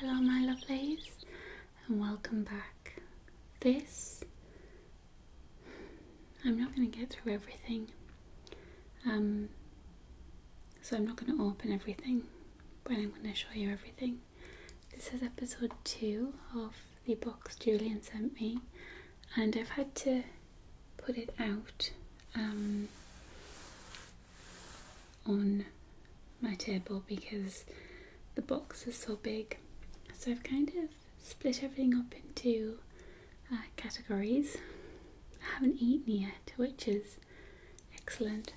Hello, my lovelies, and welcome back. This, I'm not going to get through everything, um, so I'm not going to open everything, but I'm going to show you everything. This is episode two of the box Julian sent me and I've had to put it out um, on my table because the box is so big so I've kind of split everything up into uh, categories I haven't eaten yet which is excellent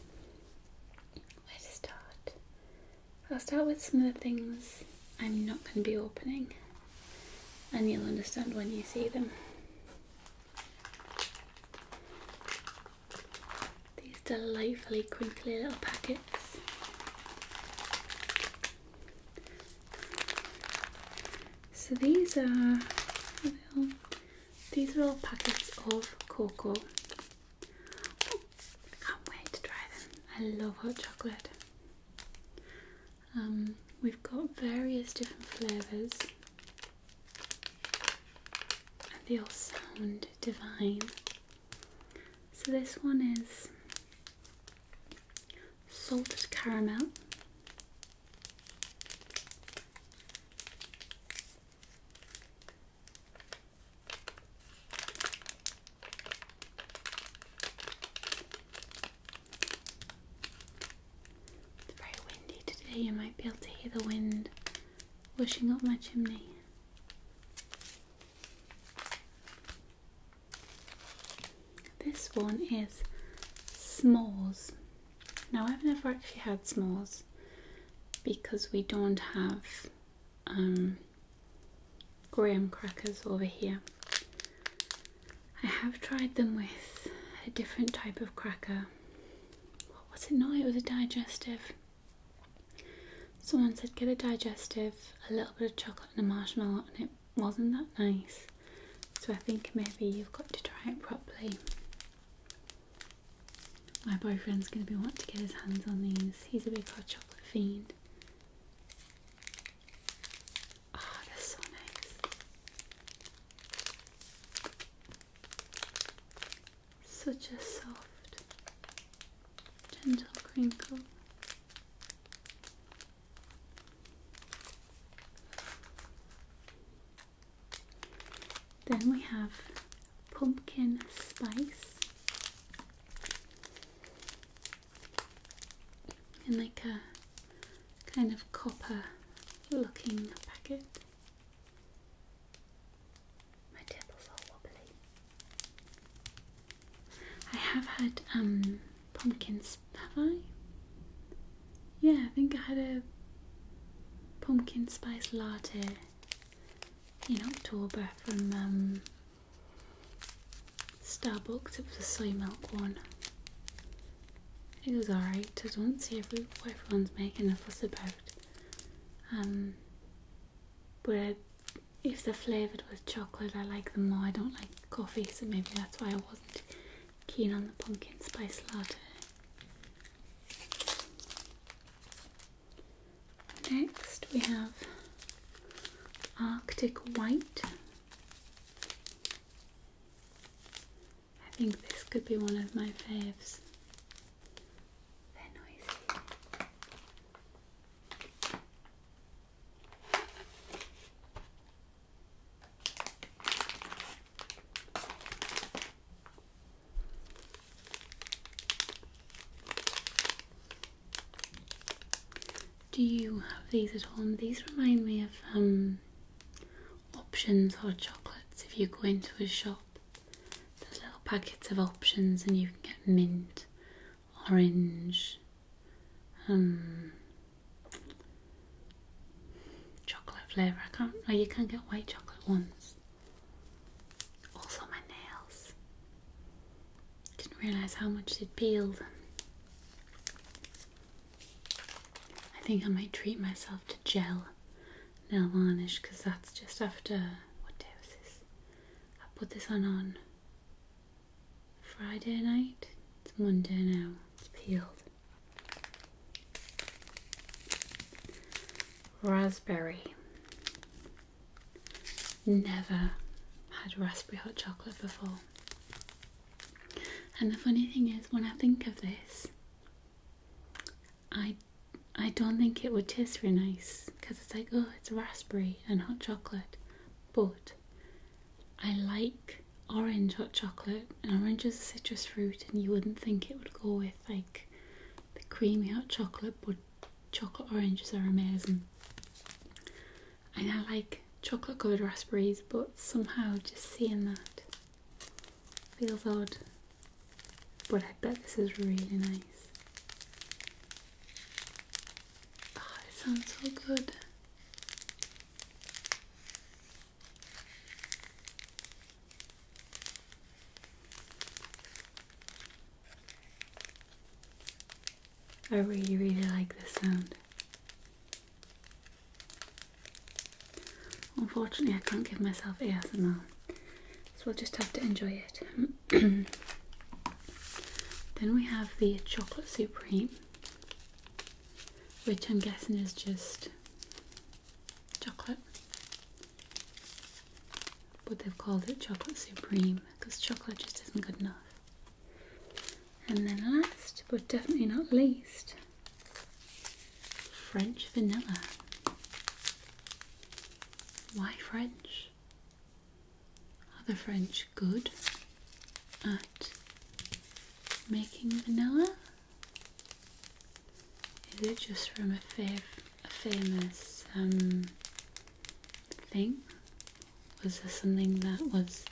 where to start I'll start with some of the things I'm not going to be opening and you'll understand when you see them. These delightfully crinkly little packets. So these are these are all packets of cocoa. Oh, I can't wait to try them. I love hot chocolate. Um, we've got various different flavours, and they all sound divine. So, this one is salted caramel. It's very windy today. You might be able to hear the wind washing up my chimney. This one is s'mores. Now, I've never actually had s'mores because we don't have um, graham crackers over here. I have tried them with a different type of cracker. What was it? No, it was a digestive. Someone said get a digestive, a little bit of chocolate and a marshmallow, and it wasn't that nice. So I think maybe you've got to try it properly. My boyfriend's going to be wanting to get his hands on these. He's a big hot chocolate fiend. Ah, oh, that's so nice. Such a soft, gentle crinkle. Then we have pumpkin spice in like a kind of copper looking packet. My table's all wobbly. I have had um pumpkins, have I? Yeah, I think I had a pumpkin spice latte in October from um Starbucks, it was a soy milk one. It was alright, I don't see every, what everyone's making a fuss about. Um, but if they're flavoured with chocolate, I like them more. I don't like coffee, so maybe that's why I wasn't keen on the pumpkin spice latte. Next we have Arctic White. I think this could be one of my faves. They're noisy. Do you have these at home? These remind me of um, options or chocolates if you go into a shop. There's little packets of options and you can get mint, orange, um, chocolate flavour. I can't, oh, you can get white chocolate ones. Also, my nails. Didn't realise how much it peeled. I think I might treat myself to gel nail varnish because that's just after what day was this? I put this on on Friday night. It's Monday now. It's peeled. Raspberry. Never had raspberry hot chocolate before. And the funny thing is, when I think of this, I I don't think it would taste very nice because it's like, oh, it's raspberry and hot chocolate. But I like orange hot chocolate, and orange is a citrus fruit, and you wouldn't think it would go with like the creamy hot chocolate, but chocolate oranges are amazing and I like chocolate covered raspberries, but somehow just seeing that feels odd. But I bet this is really nice. Oh, it sounds so good. I really, really like this sound. Unfortunately, I can't give myself ASMR, so we'll just have to enjoy it. then we have the Chocolate Supreme, which I'm guessing is just chocolate. But they've called it Chocolate Supreme because chocolate just isn't good enough. And then last but definitely not least, French vanilla. Why French? Are the French good at making vanilla? Is it just from a, famous um, thing? Was this something that was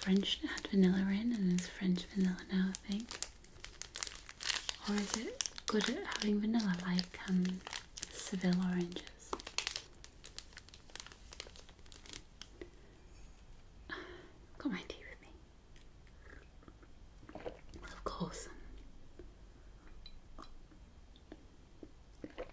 French had vanilla in and is French vanilla now I think, Or is it good at having vanilla like um, Seville oranges? Got my tea with me. of course.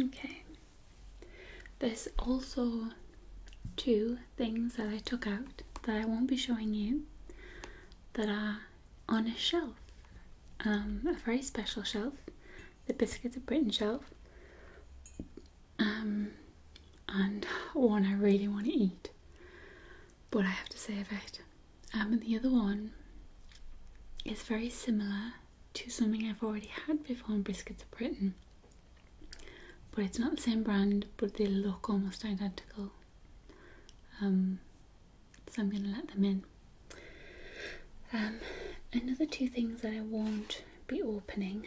Okay. There's also two things that I took out that I won't be showing you that are on a shelf, um, a very special shelf, the Biscuits of Britain shelf, um, and one I really want to eat, but I have to save it and um, the other one is very similar to something I've already had before in Biscuits of Britain, but it's not the same brand, but they look almost identical. Um, so I'm going to let them in. Um, another two things that I won't be opening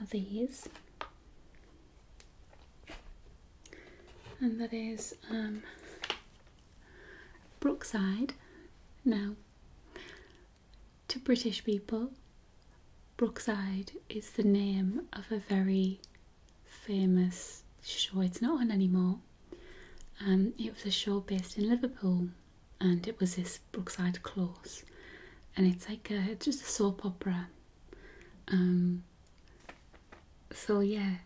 are these, and that is Brookside, now to British people, Brookside is the name of a very famous show. It's not on anymore. Um, it was a show based in Liverpool, and it was this Brookside Close, and it's like a, just a soap opera. Um, so yeah,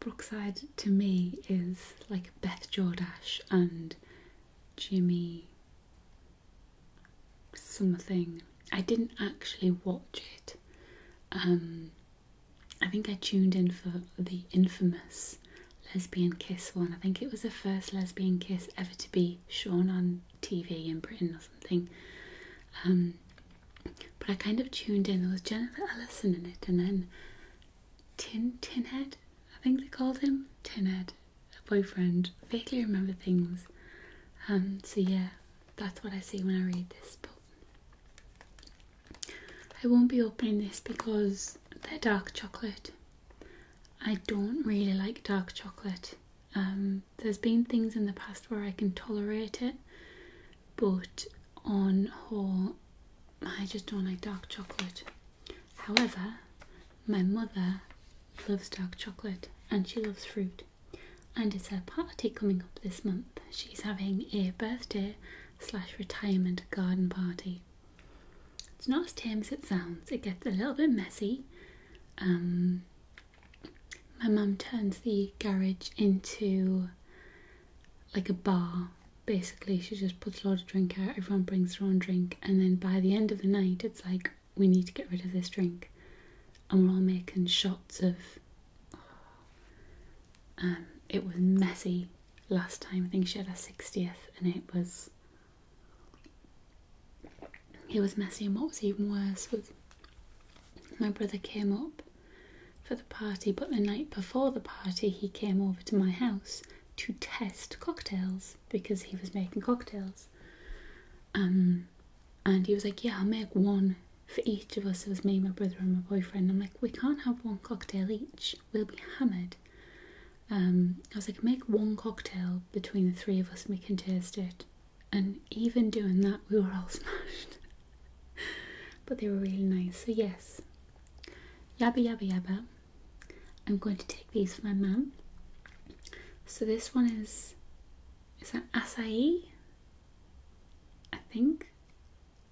Brookside to me is like Beth Jordash and Jimmy something. I didn't actually watch it. Um, I think I tuned in for the infamous lesbian kiss one. I think it was the first lesbian kiss ever to be shown on TV in Britain or something. Um, but I kind of tuned in. There was Jennifer Ellison in it, and then Tin Tinhead, I think they called him Tinhead, a boyfriend. I vaguely remember things. Um, so yeah, that's what I see when I read this book. I won't be opening this because they're dark chocolate. I don't really like dark chocolate. Um, there's been things in the past where I can tolerate it, but on whole, I just don't like dark chocolate. However, my mother loves dark chocolate and she loves fruit. And it's her party coming up this month. She's having a birthday slash retirement garden party. It's not as tame as it sounds. It gets a little bit messy. Um, my mum turns the garage into like a bar. Basically, she just puts a lot of drink out, everyone brings their own drink, and then by the end of the night, it's like, we need to get rid of this drink. And we're all making shots of. Um, it was messy last time. I think she had her 60th, and it was. It was messy, and what was even worse was my brother came up for the party, but the night before the party, he came over to my house to test cocktails because he was making cocktails. Um, and he was like, Yeah, I'll make one for each of us. It was me, my brother, and my boyfriend. I'm like, We can't have one cocktail each, we'll be hammered. Um, I was like, Make one cocktail between the three of us and we can taste it. And even doing that, we were all smashed. but they were really nice. So yes, yabba yabba yabba. I'm going to take these for my mum. So this one is is that acai? I think.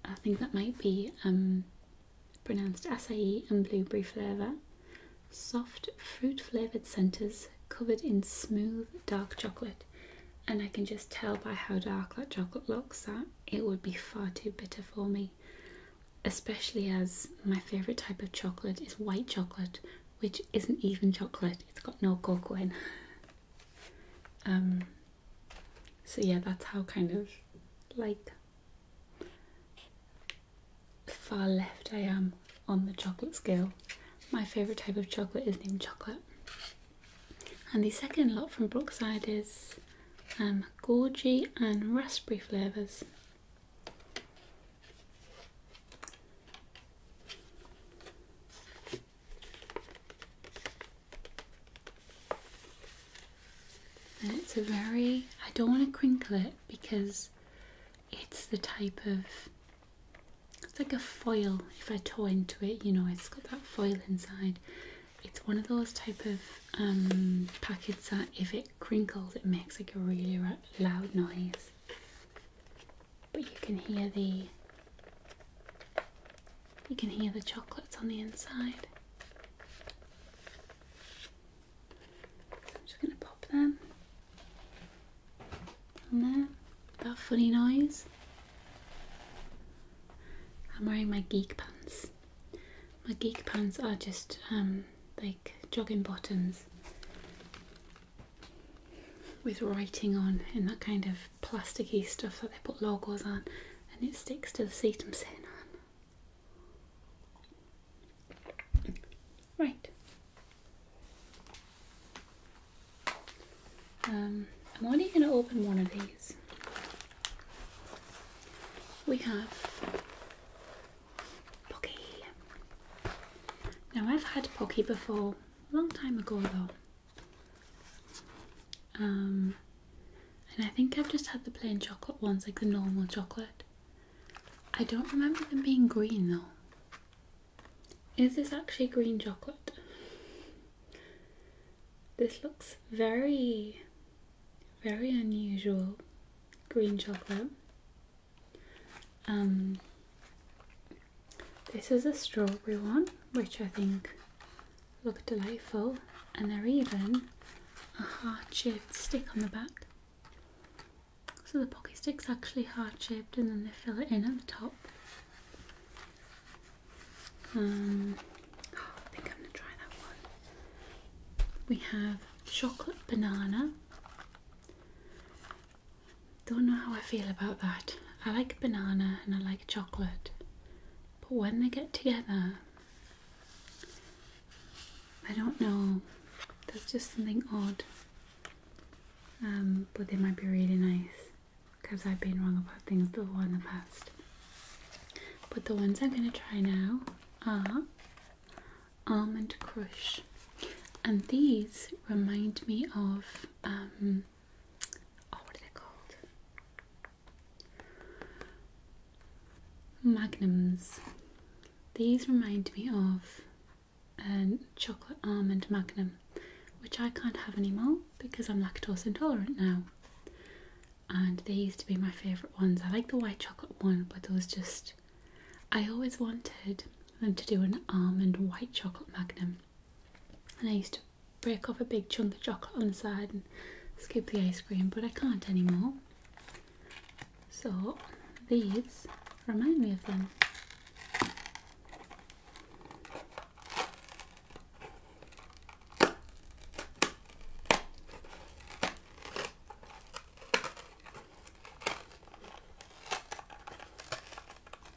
I think that might be um, pronounced acai and blueberry flavour. Soft fruit flavoured centres covered in smooth dark chocolate. And I can just tell by how dark that chocolate looks that it would be far too bitter for me, especially as my favourite type of chocolate is white chocolate, which isn't even chocolate, it's got no cocoa in. um, so, yeah, that's how kind of like far left I am on the chocolate scale. My favourite type of chocolate is named chocolate. And the second lot from Brookside is um, gorgy and Raspberry flavours. And it's a very, I don't want to crinkle it because it's the type of, it's like a foil if I tore into it, you know, it's got that foil inside it's one of those type of um, packets that if it crinkles, it makes like a really loud noise. But you can hear the you can hear the chocolates on the inside. I'm just going to pop them on there. That funny noise. I'm wearing my geek pants. My geek pants are just um, like jogging bottoms with writing on and that kind of plasticky stuff that they put logos on and it sticks to the seat I'm sitting on. Right. Um, I'm only going to open one of these. We have Pocky. Now I've had Pocky before, a long time ago though. Um, and I think I've just had the plain chocolate ones, like the normal chocolate. I don't remember them being green though. Is this actually green chocolate? This looks very, very unusual green chocolate. Um, this is a strawberry one, which I think look delightful, and they're even a heart shaped stick on the back. So the pocket stick's actually heart shaped, and then they fill it in at the top. Um, oh, we have chocolate banana. Don't know how I feel about that. I like banana and I like chocolate, but when they get together, I don't know. There's just something odd. Um, but they might be really nice because I've been wrong about things before in the past. But the ones I'm going to try now are Almond Crush, and these remind me of um, oh, what are they called? Magnums. These remind me of a chocolate almond magnum, which I can't have anymore because I'm lactose intolerant now and they used to be my favourite ones. I like the white chocolate one, but there was just I always wanted them to do an almond white chocolate magnum, and I used to break off a big chunk of chocolate on the side and scoop the ice cream, but I can't anymore. So these remind me of them.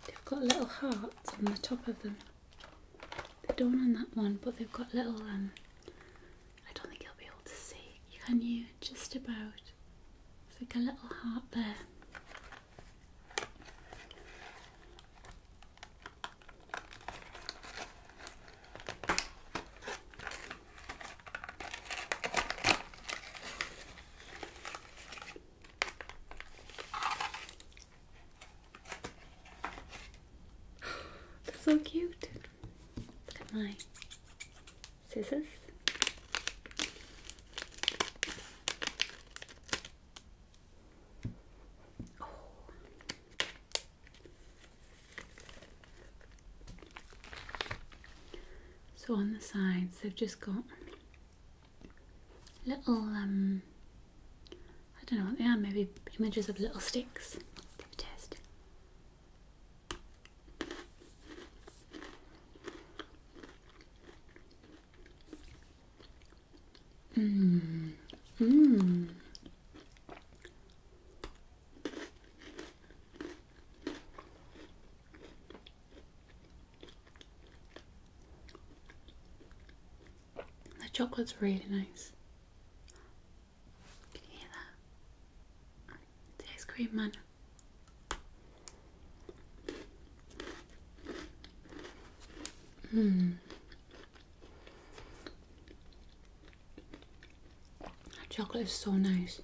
They've got little hearts on the top of them. They don't on that one, but they've got little, um, I don't think you'll be able to see. Can you? Just about. It's like a little heart there. That's so cute. my scissors. So on the sides, they've just got little, um, I don't know what they are, maybe images of little sticks. Give a test. The chocolate's really nice. Can you hear that? The ice cream man. Mm chocolate is so nice.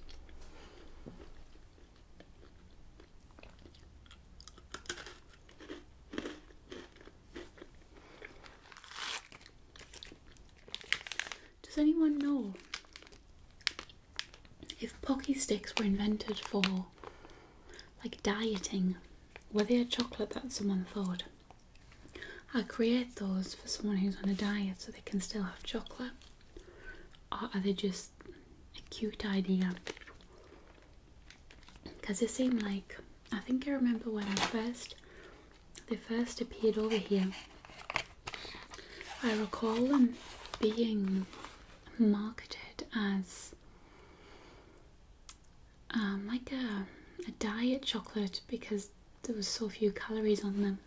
Does anyone know if pocky sticks were invented for like dieting? Were they a chocolate that someone thought? I create those for someone who's on a diet so they can still have chocolate. are they just a cute idea? Because they seem like, I think I remember when I first, they first appeared over here. I recall them being marketed as um, like a, a diet chocolate because there was so few calories on them.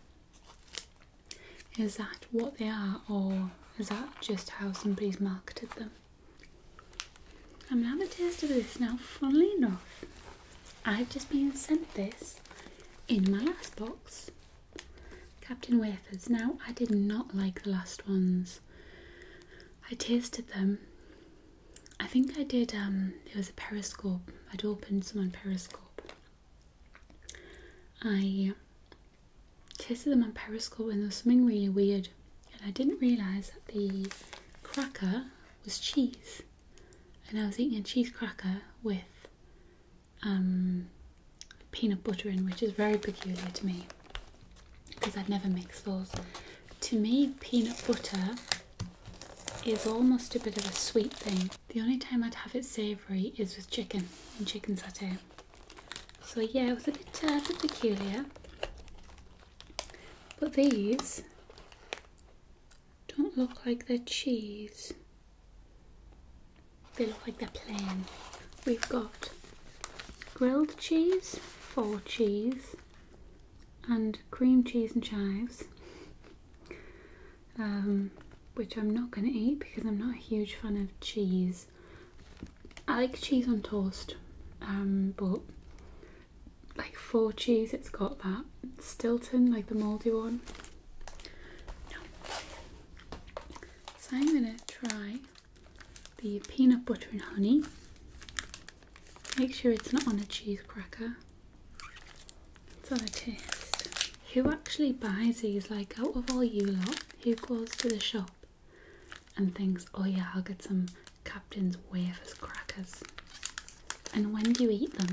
Is that what they are, or is that just how somebody's marketed them? I'm gonna have a taste of this now. Funnily enough, I've just been sent this in my last box. Captain Wafers. Now, I did not like the last ones. I tasted them I think I did, it um, was a Periscope. I'd opened someone Periscope. I tasted them on Periscope and there was something really weird. And I didn't realise that the cracker was cheese. And I was eating a cheese cracker with um, peanut butter in, which is very peculiar to me because i would never mix those. To me, peanut butter is almost a bit of a sweet thing. The only time I'd have it savoury is with chicken and chicken satay. So yeah, it was a bit, uh, a bit peculiar. But these don't look like they're cheese. They look like they're plain. We've got grilled cheese, four cheese, and cream cheese and chives, um, which I'm not going to eat because I'm not a huge fan of cheese. I like cheese on toast, um, but like four cheese, it's got that Stilton, like the mouldy one. So I'm going to try the peanut butter and honey Make sure it's not on a cheese cracker. on a it is. Who actually buys these? Like, out of all you lot, who goes to the shop and thinks, oh yeah, I'll get some Captain's Wafers crackers? And when do you eat them?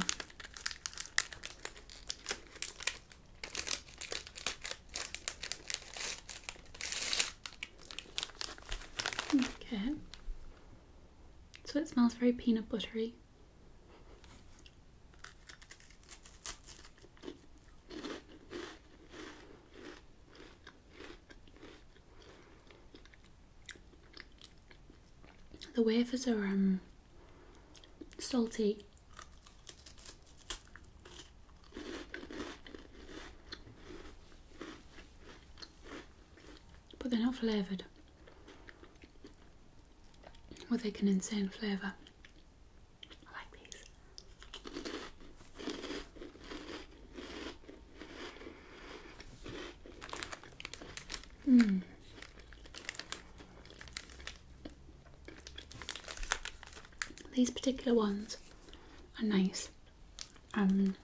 Okay. So it smells very peanut buttery. The wafers are um, salty but they're not flavoured. With like an insane flavour. I like these. Mm. These particular ones are nice. Um,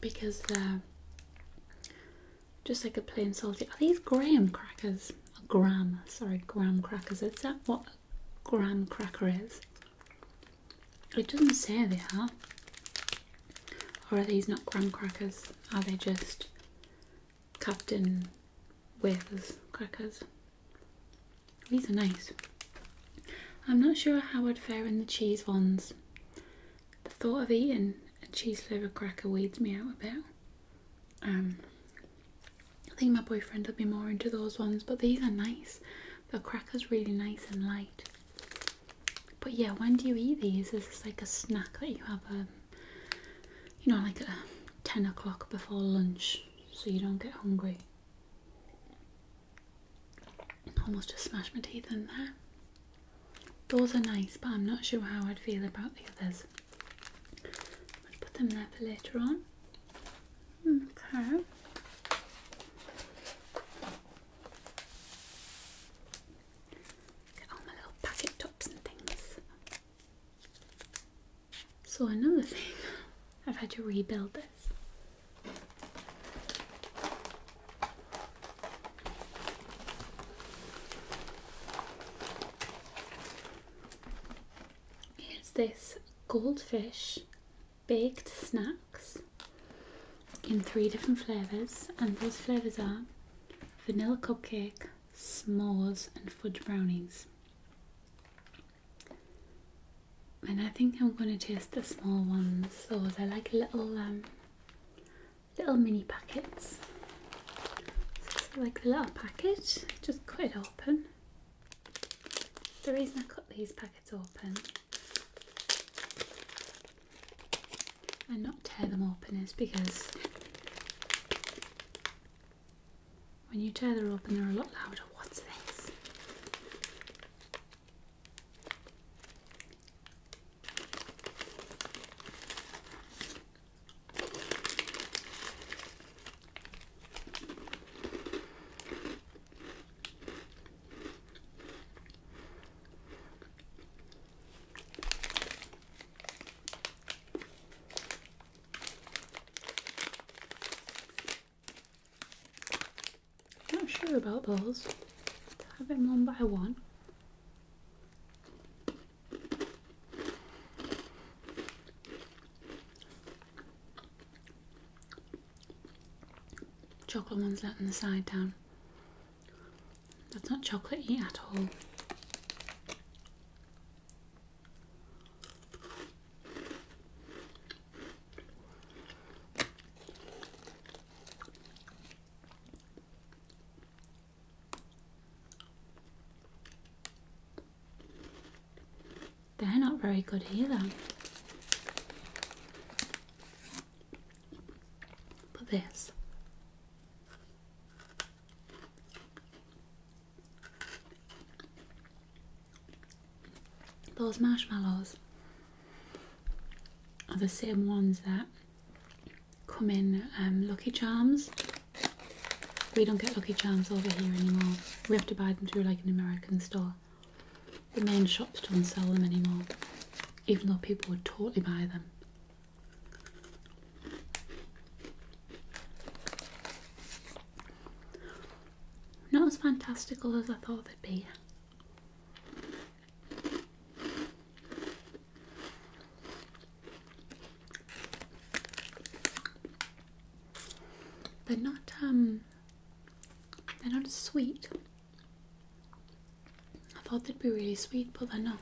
because they uh, just like a plain salty. Are these graham crackers? Graham, sorry, graham crackers. Is that what graham cracker is? It doesn't say they are. Or are these not graham crackers? Are they just Captain Wafers crackers? These are nice. I'm not sure how I'd fare in the cheese ones. The thought of eating a cheese flavour cracker weeds me out a bit. Um, I think my boyfriend would be more into those ones, but these are nice. The cracker's really nice and light. But yeah, when do you eat these? Is this like a snack that you have, a, um, you know, like a 10 o'clock before lunch so you don't get hungry. Almost just smashed my teeth in there. Those are nice, but I'm not sure how I'd feel about the others. I'll put them there for later on. Okay. Get all my little packet tops and things. So, another thing, I've had to rebuild this. Here's this goldfish baked snacks in three different flavours, and those flavours are vanilla cupcake, s'mores, and fudge brownies. And I think I'm going to taste the small ones, so they're like little, um, little mini packets. like a little packet, just cut it open. The reason I cut these packets open and not tear them open is because when you tear them open, they're a lot louder. What's this? I'm not sure about those. Have them one by one. Chocolate one's letting the side down. That's not chocolatey at all. They're not very good either. But this those marshmallows are the same ones that come in um, Lucky Charms. We don't get Lucky Charms over here anymore. We have to buy them through like an American store. The main shops don't sell them anymore, even though people would totally buy them. Not as fantastical as I thought they'd be. They're not um, they're not as sweet. I thought they'd be really sweet, but they're not.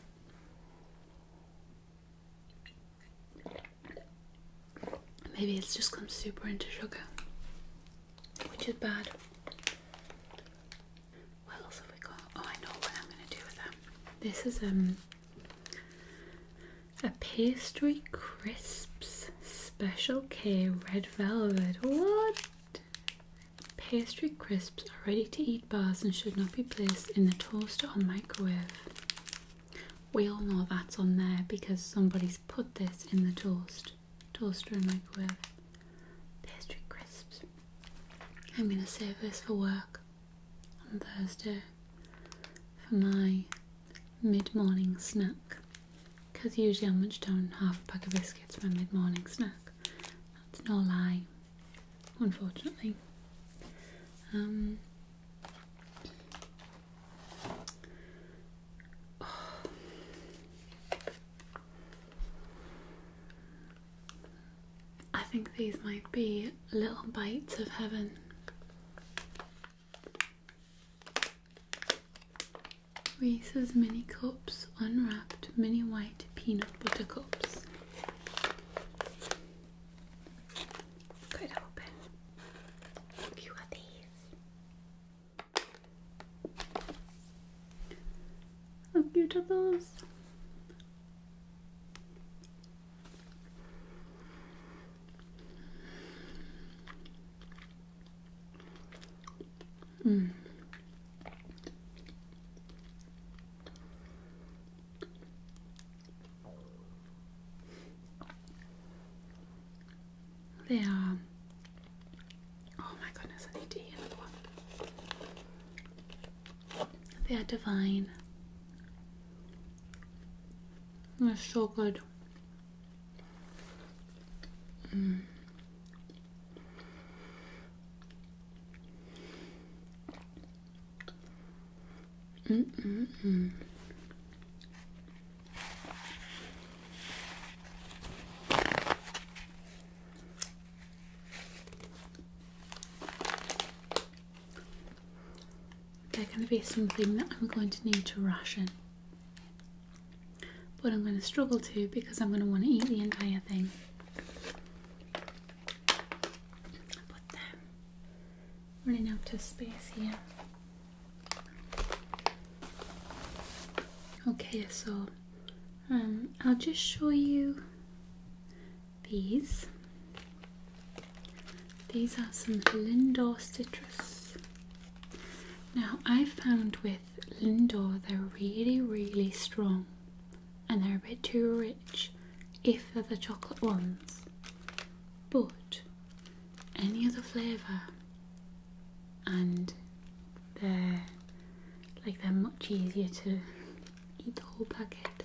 Maybe it's just gone super into sugar, which is bad. What else have we got? Oh, I know what I'm gonna do with that. This is um a pastry crisps special K red velvet. What? Pastry crisps are ready to eat bars and should not be placed in the toaster or microwave. We all know that's on there because somebody's put this in the toast, toaster and microwave. Pastry crisps. I'm going to save this for work on Thursday for my mid morning snack because usually I'll munch down half a pack of biscuits for my mid morning snack. That's no lie, unfortunately. Um, I think these might be little bites of heaven. Reese's Mini Cups Unwrapped Mini White Peanut Butter Cups. Good open. A few these. How cute are those? Mm. They are. Uh, oh my goodness, I need to eat another one. They are divine. They're so good. Mm. They're going to be something that I'm going to need to ration, but I'm going to struggle to because I'm going to want to eat the entire thing running out of space here. Okay, so um, I'll just show you these. These are some Lindor citrus. Now I found with Lindor they're really really strong and they're a bit too rich if they're the chocolate ones but any other flavour and they're like they're much easier to eat the whole packet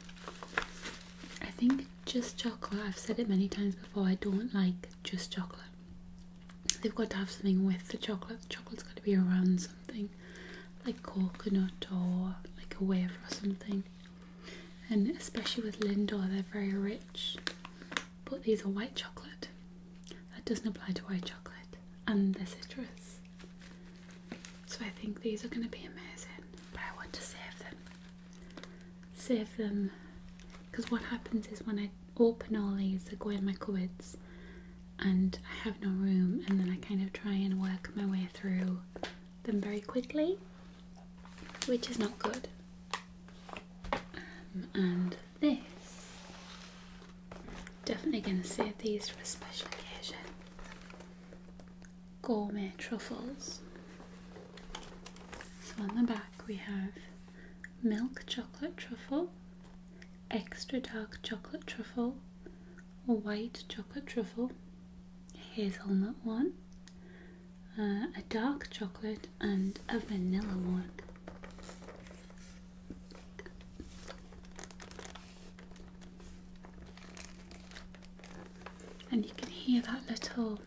i think just chocolate i've said it many times before i don't like just chocolate they've got to have something with the chocolate the chocolate's got to be around something like coconut or like a wafer or something and especially with Lindor, they're very rich. But these are white chocolate. That doesn't apply to white chocolate, and the citrus. So I think these are going to be amazing, but I want to save them. Save them, because what happens is when I open all these, they go in my cupboard, and I have no room, and then I kind of try and work my way through them very quickly which is not good. Um, and this, definitely going to save these for a special occasion. Gourmet truffles. So on the back we have milk chocolate truffle, extra dark chocolate truffle, white chocolate truffle, hazelnut one, uh, a dark chocolate and a vanilla one. And you can hear that little,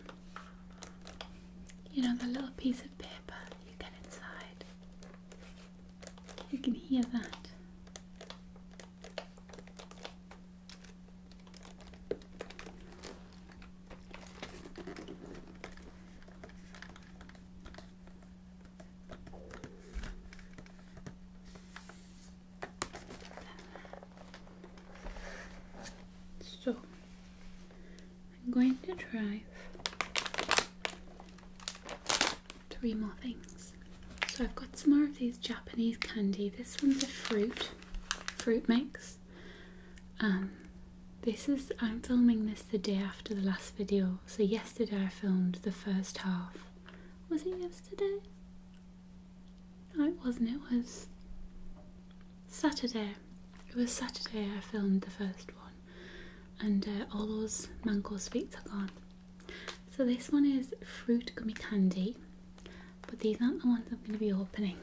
you know, the little piece of paper you get inside. You can hear that. So I'm going to try three more things. So I've got some more of these Japanese candy. This one's a fruit fruit mix. Um, this is I'm filming this the day after the last video, so yesterday I filmed the first half. Was it yesterday? No, it wasn't. It was Saturday. It was Saturday I filmed the first one, and uh, all those mango sweets are gone. So this one is fruit gummy candy but these aren't the ones I'm going to be opening.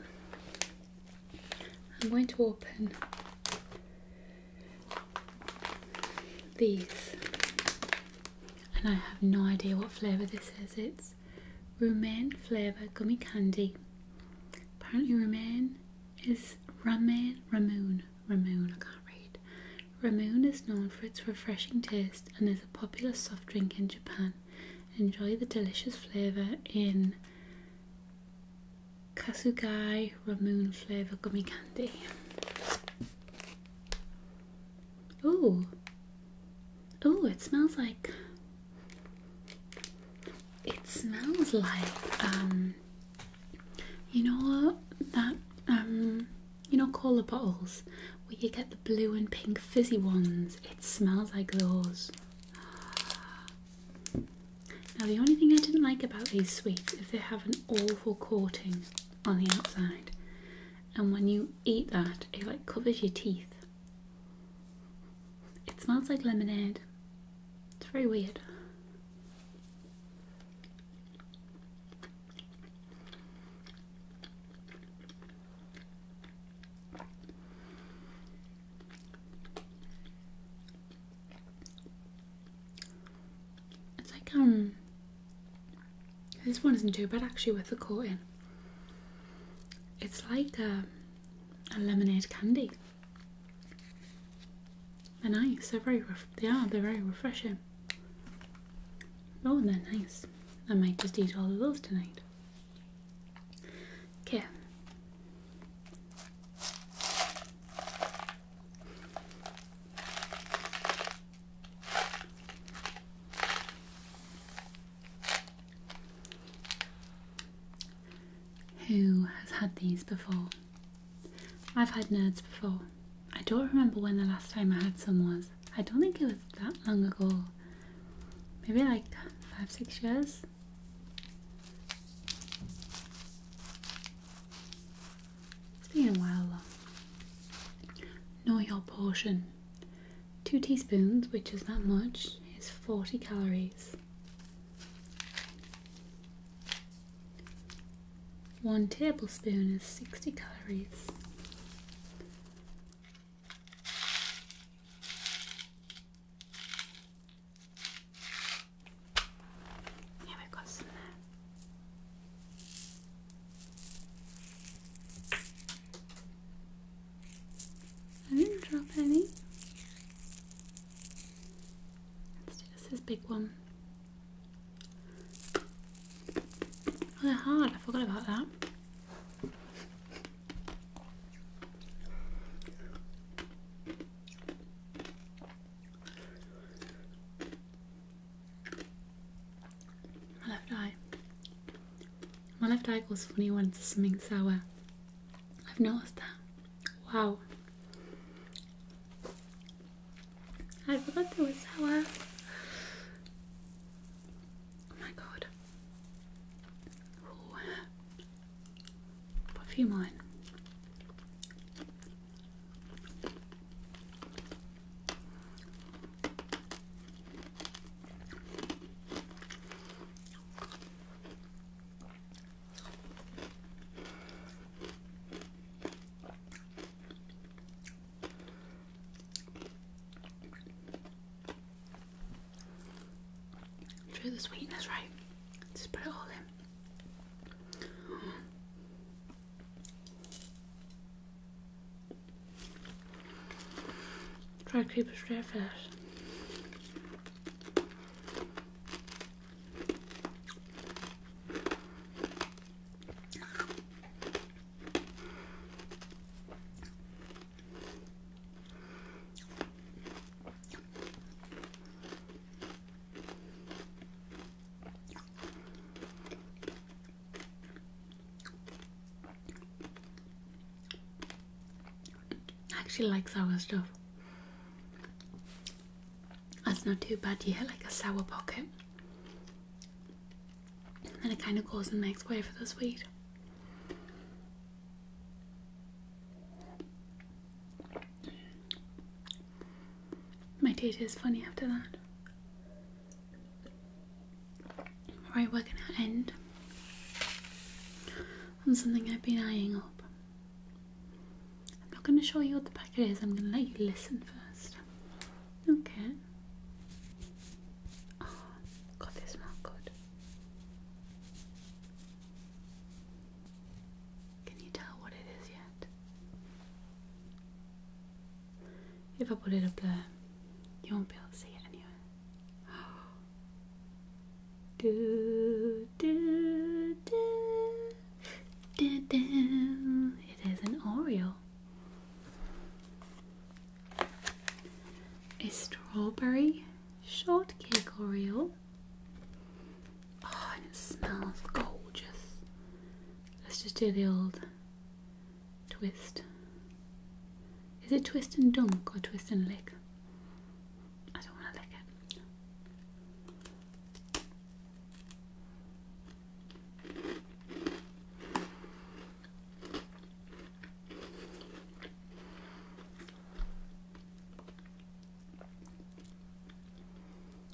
I'm going to open these and I have no idea what flavour this is. It's romaine flavour gummy candy. Apparently romaine is ramen, ramoon, ramoon, I can't read. Ramoon is known for its refreshing taste and is a popular soft drink in Japan. Enjoy the delicious flavour in Kasugai Ramune flavour gummy candy. Oh, oh, it smells like. It smells like um, you know that um, you know cola bottles where you get the blue and pink fizzy ones. It smells like those. Now, the only thing I didn't like about these sweets is they have an awful coating on the outside, and when you eat that, it like covers your teeth. It smells like lemonade. It's very weird. It's like um this one isn't too bad actually with the coating. It's like a, uh, a lemonade candy. They're nice. They're very they are. They're very refreshing. Oh, they're nice. I might just eat all of those tonight. Okay. Who has had these before? I've had nerds before. I don't remember when the last time I had some was. I don't think it was that long ago maybe like five, six years. It's a while. Know your portion. Two teaspoons, which is that much, is 40 calories. One tablespoon is 60 calories. Yeah, we've got I didn't drop any. Let's do this, big one. Oh, they hard, I forgot about that. My left eye. My left eye goes funny when it's something sour. I've noticed that. Wow. I forgot there was sour. Oh my god. Ooh. Put a few more True the sweetness, right? Just put it all in. Try to keep it straight fast. I actually like sour stuff. That's not too bad. You hit like a sour pocket, and it kind of goes in the next way for the sweet. My data is funny after that. Right, we're gonna end on something I've been eyeing up. I'm not gonna show you what the packet is, I'm gonna let you listen first. Okay. Ah, God, they smell good. Can you tell what it is yet? If I put it up there, you won't be able to see it anyway. do, do, do, do, do. It is an Oreo. A strawberry shortcake Oreo. Oh, and it smells gorgeous. Let's just do the old twist. Is it twist and dunk or twist and lick? I don't want to lick it.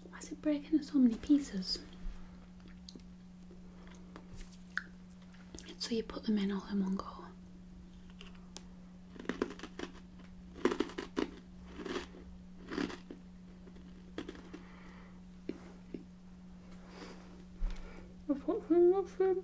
Why is it breaking into so many pieces? So you put them in all in one go. I've got some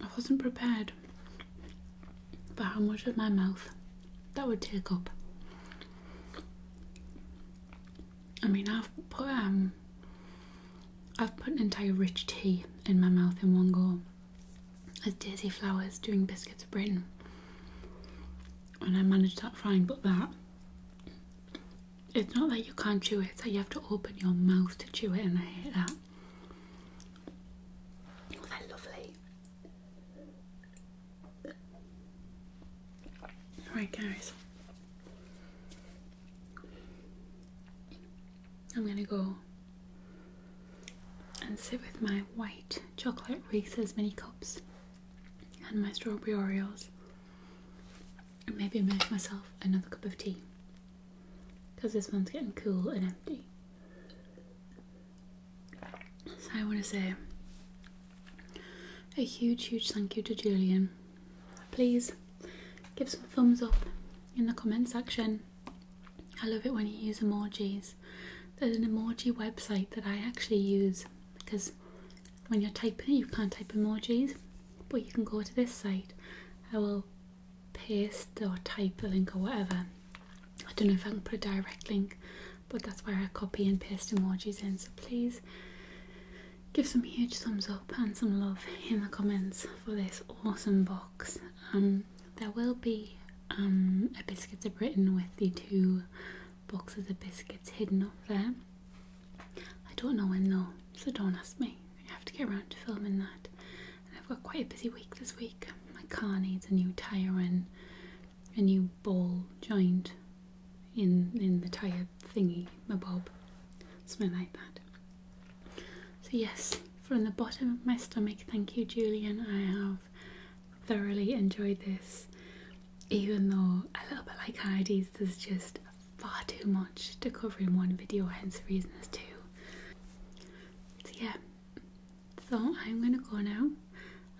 I wasn't prepared for how much of my mouth that would take up. I mean, I've put um, I've put an entire rich tea in my mouth in one go, as Daisy Flowers doing biscuits of Britain, and I managed that fine. But that, it's not that you can't chew it; it's that you have to open your mouth to chew it, and I hate that. Oh, they're lovely. Right, guys, I'm gonna go and sit with my white chocolate Reese's mini cups and my strawberry Oreos, and maybe make myself another cup of tea because this one's getting cool and empty. So I want to say a huge, huge thank you to Julian. Please give some thumbs up in the comment section. I love it when you use emojis. There's an emoji website that I actually use because when you're typing you can't type emojis, but you can go to this site. I will paste or type the link or whatever. I don't know if I can put a direct link, but that's where I copy and paste emojis in. So please give some huge thumbs up and some love in the comments for this awesome box. Um, there will be um, a Biscuits of Britain with the two boxes of biscuits hidden up there. I don't know when though, so don't ask me. I have to get around to filming that. And I've got quite a busy week this week. My car needs a new tyre and a new ball joint in in the tyre thingy, my bob, something like that. So yes, from the bottom of my stomach, thank you, Julian. I have thoroughly enjoyed this, even though a little bit like Heidi's, there's just far too much to cover in one video, hence the reason there's two. So yeah, so I'm gonna go now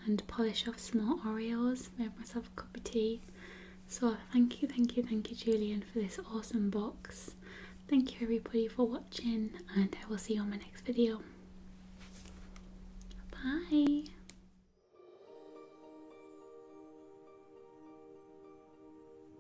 and polish off some more Oreos, make myself a cup of tea. So thank you, thank you, thank you, Julian, for this awesome box. Thank you everybody for watching, and I will see you on my next video. Bye.